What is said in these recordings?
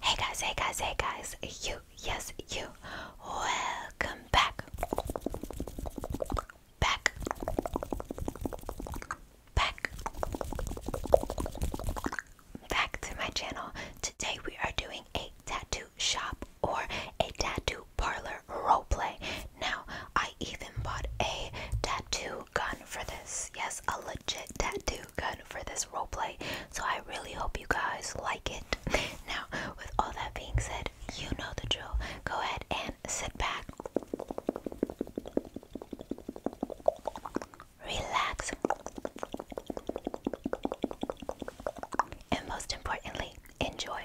Hey guys, hey guys, hey guys, you, yes, you, welcome back, back, back, back to my channel. Today we are doing a tattoo shop or a tattoo parlor roleplay. Now, I even bought a tattoo gun for this. Yes, a legit tattoo gun for this roleplay. So I really hope you guys like it. Now, with all that being said, you know the drill. Go ahead and sit back. Relax. And most importantly, enjoy.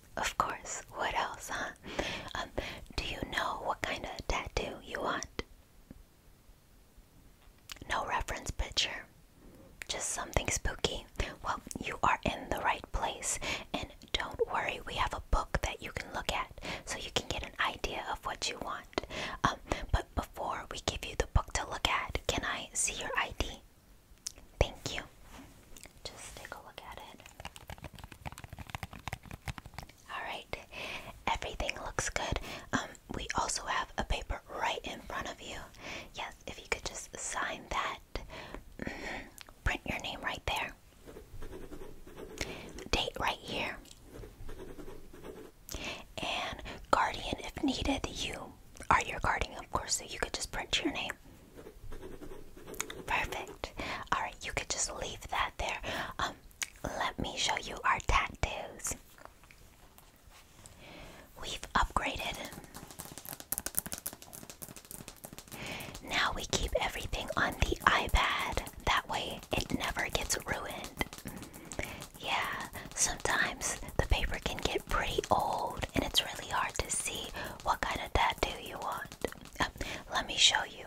Of course. What else, huh? Um, do you know what kind of tattoo you want? No reference picture. Just something spooky. Well, you are in the right place. And don't worry, we have a book that you can look at so you can get an idea of what you want. Um, but before we give you the book to look at, can I see your ID? Thank you. Just take a look at it. Alright, everything looks good. Um, we also have a paper right in front of you. Yes, if you could just sign that. Mm-hmm. Print your name right there. Date right here. And guardian if needed, you are your guardian, of course, so you could just print your name. Perfect. All right, you could just leave that there. Um, let me show you our tattoos. We've upgraded. Now we keep everything on the iPad. That way it never gets ruined. Yeah, sometimes the paper can get pretty old and it's really hard to see what kind of tattoo you want let me show you.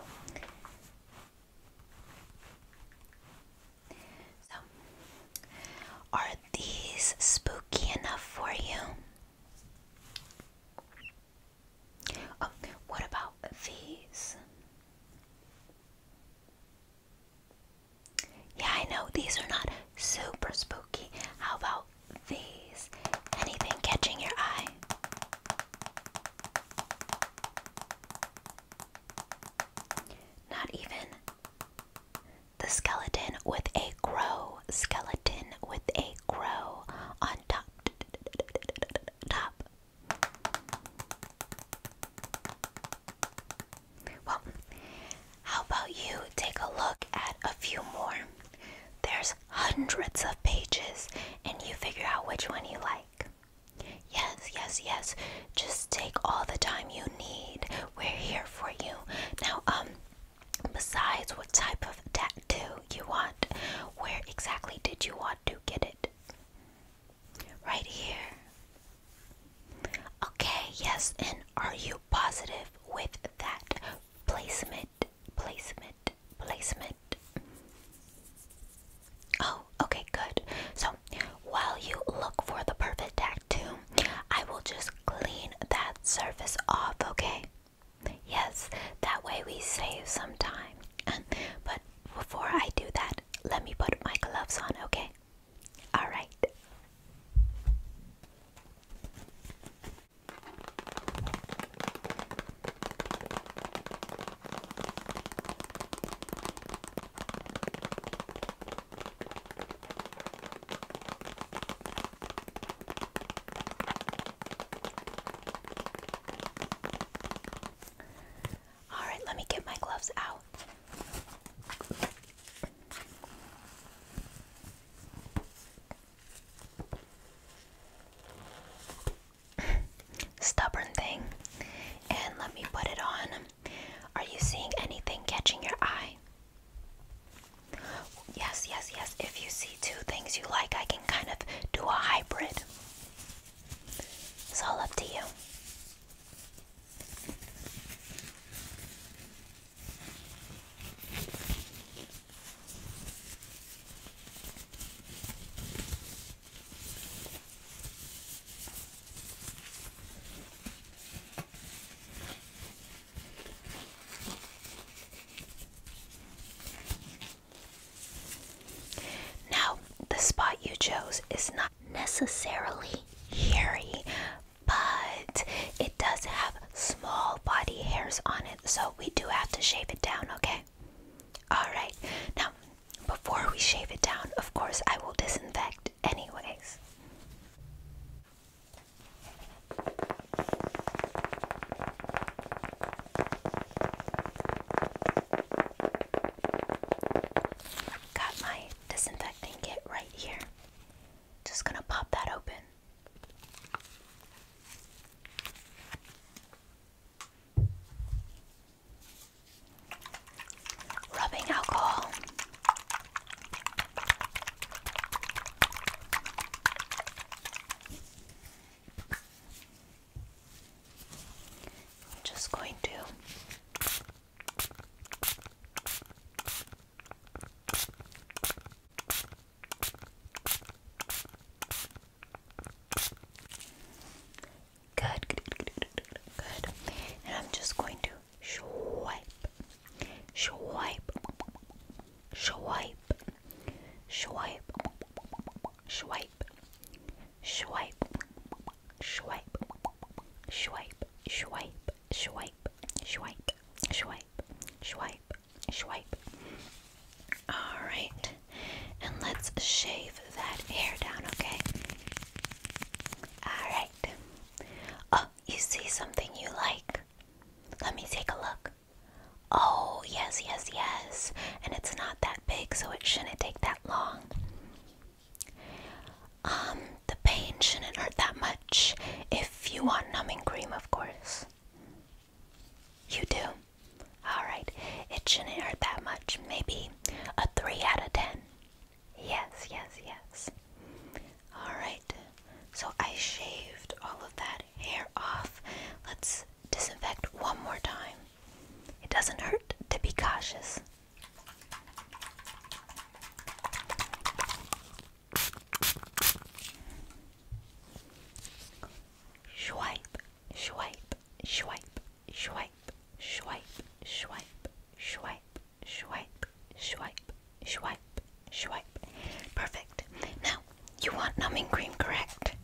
are these spooky enough for you? Oh, what about these? Yeah, I know these are not super spooky. How about these. Anything catching your eye? Not even. The skeleton with a crow. Skeleton with a crow on top. Top. Well, how about you take a look at a few more? There's hundreds of pages and you figure out which one you like. Yes, yes, yes. Just take all the time you need. We're here for you. Now, um, besides what type of tattoo you want, where exactly did you want to get it? Right here. Okay, yes, and are you positive with that placement? placement, placement. Oh, okay, good. So while you look for the perfect tattoo, I will just clean that surface off, okay? Yes, that way we save some time. but before I do that, let me put my gloves on, okay? Alright. All right, let me get my gloves out. Stubborn thing. And let me put it on. Are you seeing anything catching your eye? Yes, yes, yes. If you see two things you like, I can kind of do a hybrid. It's all up to you. Now, the spot you chose is not necessarily hairy, but it does have small body hairs on it, so we do have to shave it down, okay? Alright, now before we shave it down, of course, I will disinfect anyways. Got my disinfecting kit right here. Just gonna pop that open. Rubbing alcohol. just going to Good, good, good, good, good, good, good. And I'm just going to swipe, swipe, swipe, swipe, swipe, swipe, swipe, swipe, swipe, swipe, swipe, swipe, swipe, swipe, Alright, and let's shave that hair down, okay? Alright. Oh, you see something you like? Let me take a look. Oh, yes, yes, yes. And it's not that big, so it shouldn't take that long. Um, the pain shouldn't hurt that much if you want numbing cream, of course yours? You do? Alright, it shouldn't hurt that much. Maybe a 3 out of 10. Yes, yes, yes. Alright, so I shaved all of that hair off. Let's disinfect one more time. It doesn't hurt to be cautious. Swipe, swipe, swipe, swipe, swipe, swipe, swipe, swipe, swipe, swipe, swipe. Perfect. Now, you want numbing cream, correct?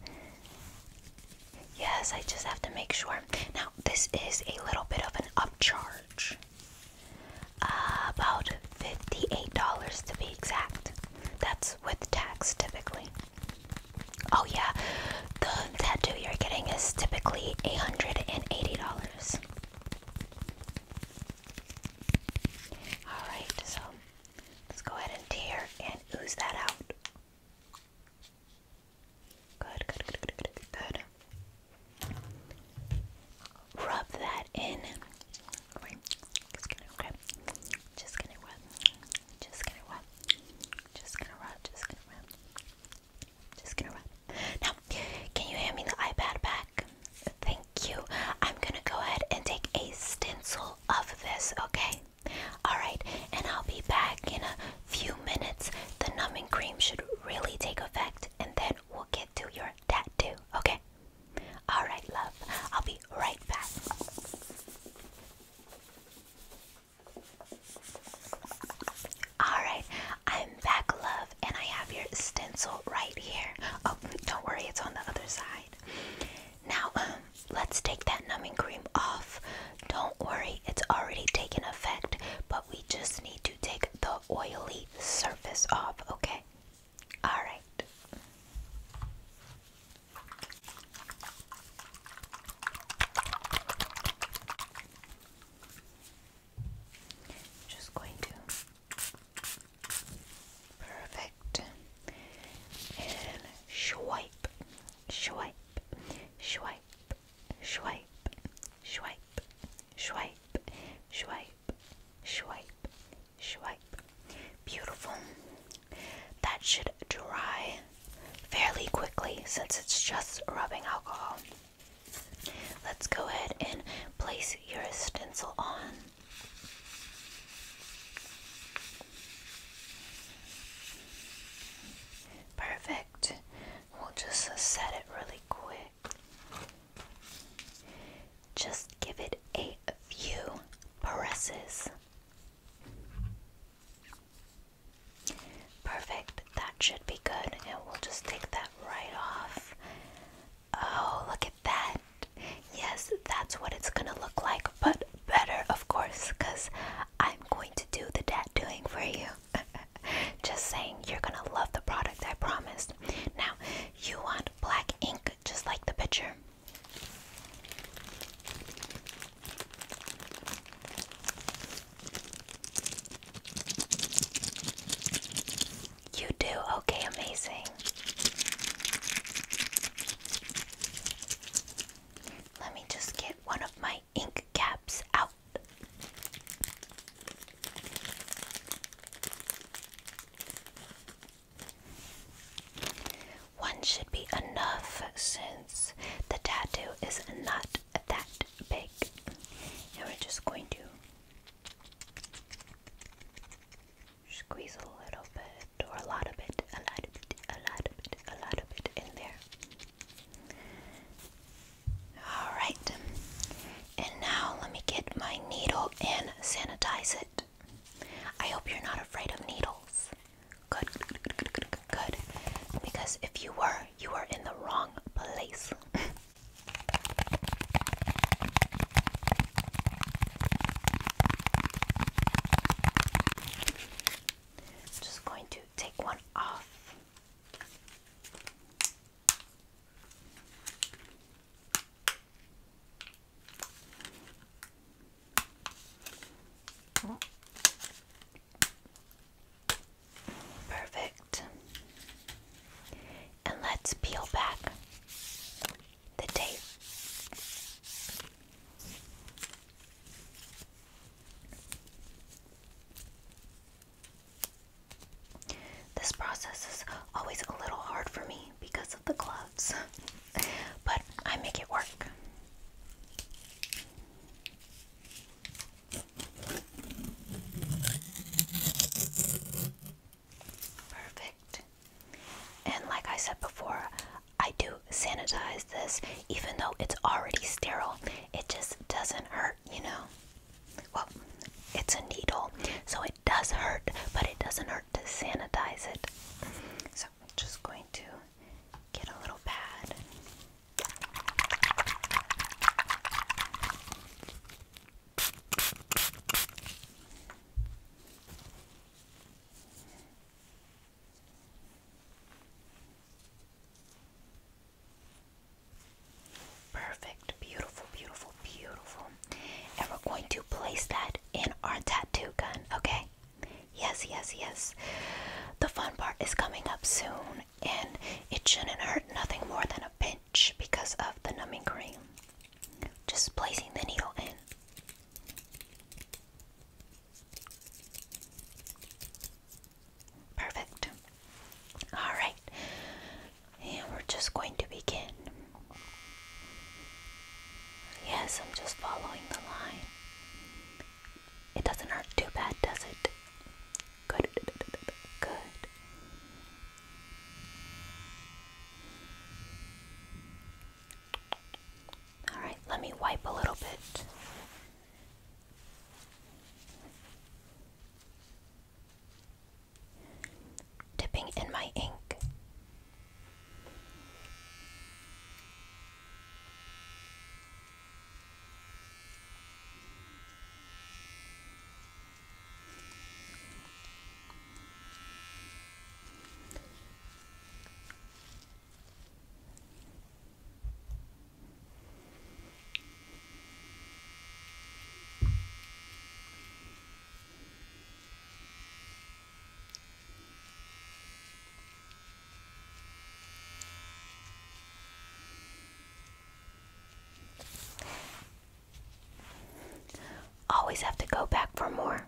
Yes, I just have to make sure. Now, this is a little bit of an upcharge. Uh, about $58 to be exact. That's with tax typically. Oh, yeah, the tattoo you're getting is typically $880. Alright, so let's go ahead and tear and ooze that out. Good, good, good, good, good, good rub that in. Just gonna rub, just gonna rub, just gonna rub, just gonna rub, just gonna rub, Now, can you hand me the iPad back? Thank you. I'm gonna go ahead and take a stencil of this, okay? Alright, and I'll be back in a few minutes. The numbing cream should really take effect, and then we'll get to your tattoo, okay? Alright, love. I'll be right back. Alright, I'm back, love, and I have your stencil right here. Oh, don't worry, it's on the other side. Now, um, let's take that numbing cream off. Don't worry, it's already taken effect, but we just need to take the oily surface off, okay? All right. Just going to perfect and swipe, swipe, swipe, swipe, swipe, swipe, swipe, swipe, swipe, Beautiful. That should dry fairly quickly since it's just rubbing alcohol. Let's go ahead and place your stencil on. Perfect. We'll just set it really quick. Just give it a few presses. Perfect, that should be good, and we'll just take that right off. Oh, look at that! Yes, that's what it's gonna look like, but better, of course, because I'm going to do the dad doing for you. Just saying, you're gonna love the product, I promise. Now, you want black ink, just like the picture. You do? Okay, amazing. Let me just get one of my ink caps out. One should be enough since the tattoo is not that big. And we're just going to squeeze a little bit or a lot of it, a lot of it, a lot of it, a lot of it in there. Alright, and now let me get my needle and sanitize it. I hope you're not afraid of needles. Good, good, good, good, good, good. Because if you were, you were in the wrong place. just going to take one off. Perfect. And let's peel back the tape. This process is always a little hard for me because of the gloves, but I make it work. Perfect. And like I said before, I do sanitize this even though it's already sterile. It just doesn't hurt, you know. Well, it's a needle, so it does hurt, but it doesn't hurt to sanitize it. So I'm just going to get a little pad. Perfect, beautiful, beautiful, beautiful. And we're going to place that in our tattoo gun, okay? Yes, yes, yes. The fun part is coming up soon, and it shouldn't hurt nothing more than a pinch because of the numbing cream. Just placing the needle in. Perfect. All right, and we're just going to begin. Yes, I'm just following the line. It doesn't hurt too bad, does it? Good, good. All right, let me wipe a little bit. Dipping in my ink. Always have to go back for more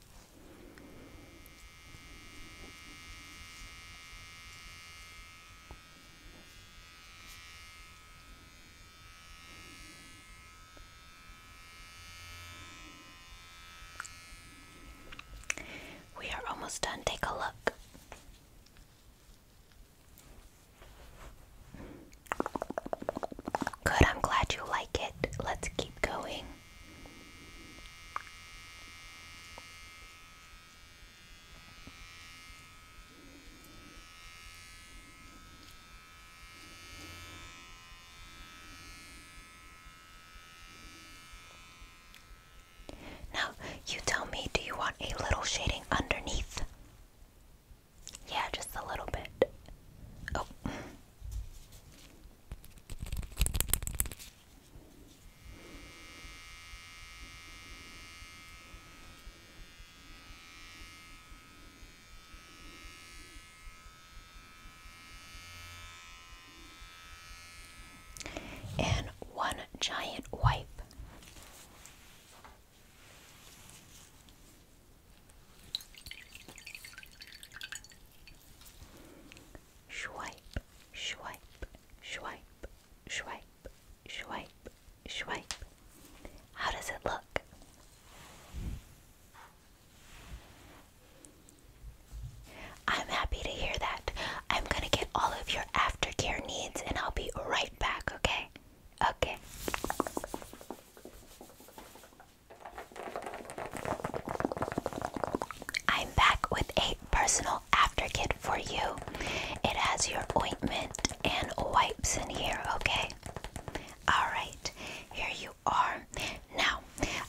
We are almost done. Take a look. Good, I'm glad you like it. Let's keep going. Now, you tell me, do you want a little shading underneath? Yeah, just a little bit. Oh and one giant wipe. Swipe, swipe, swipe, swipe, swipe, swipe. How does it look? I'm happy to hear that. I'm gonna get all of your aftercare needs and I'll be right back, okay? Okay. I'm back with a personal after kit for you. It has your ointment and wipes in here, okay? Alright, here you are. Now,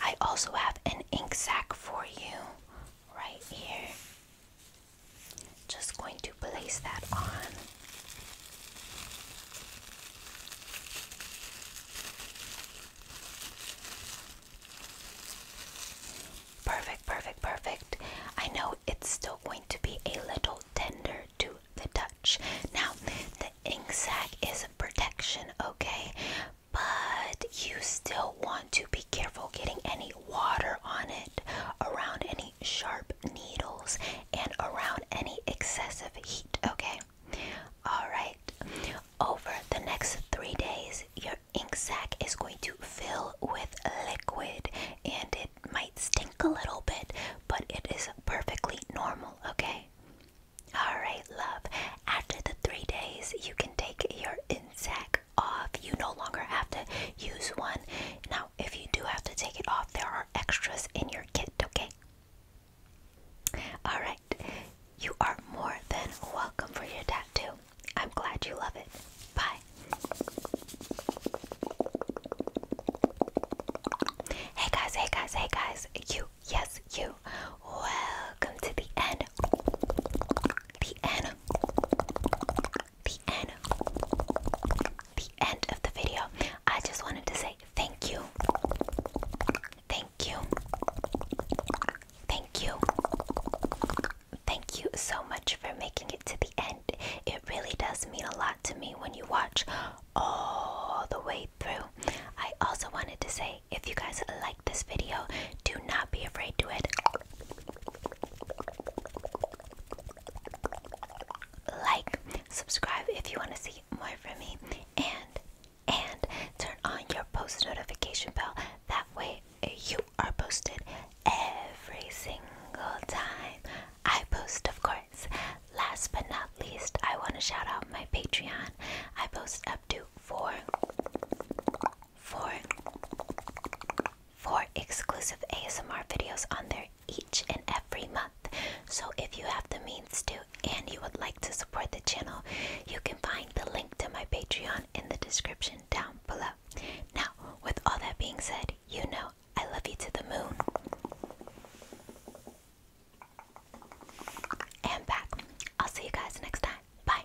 I also have an ink sac for you right here. Just going to place that on. Perfect, perfect, perfect. I know it's still going to be a little tender to the touch. Now, the ink sac is a protection, okay? But you still want to be careful getting any water on it, around any sharp needles, and around any excessive heat, okay? Alright, over the next three days, your ink sac is going to fill with liquid and it might stink a little bit, but it is perfectly normal, okay? Alright, love. After the three days, you can take your ink sac off. You no longer have to use one. Now, if you do have to take it off, there are extras in your kit, okay? Alright, you are more than welcome for your tattoo. I'm glad you love it. Bye. Hey guys, hey guys, hey guys. You, yes, you. Welcome to the end. The end. The end. The end of the video. I just wanted to say thank you. Thank you. Thank you. Thank you so much for making it to the end. It really does mean a lot to me when you watch all the way through. I also wanted to say if you guys like this video, do not be afraid to it. Like, subscribe if you want to see more from me, and and turn on your post notification bell. That way, eh, you are posted every single time I post, of course. Last but not least, I want to shout out my Patreon. I post up to four, four, four exclusive ASMR videos on there each and every month. So if you have the means to and you would like to support the channel, you can find the link to my Patreon in the description down below. Now, with all that being said, you know I love you to the moon. And back. I'll see you guys next time. Bye.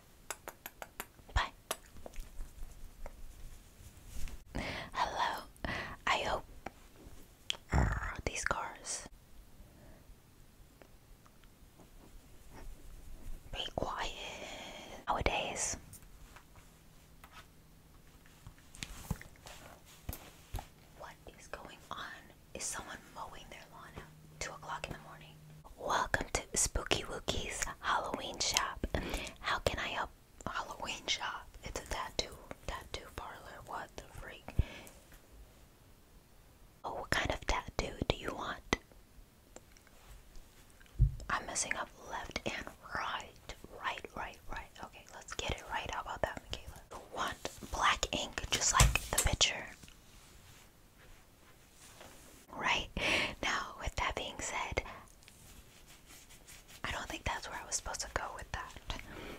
Bye. Hello. I hope Ah, these cars. Be quiet nowadays. What is going on? Is someone mowing their lawn at 2 o'clock in the morning? Welcome to Spooky Wookie's Halloween Shop. How can I help? Halloween Shop? It's a tattoo, tattoo parlor. What the freak? Oh, what kind of tattoo do you want? I'm messing up left and right. Right, right, right. Okay, let's get it right. How about that, Michaela? You want black ink, just like the picture. Right? Now, with that being said, I don't think that's where I was supposed to go with that.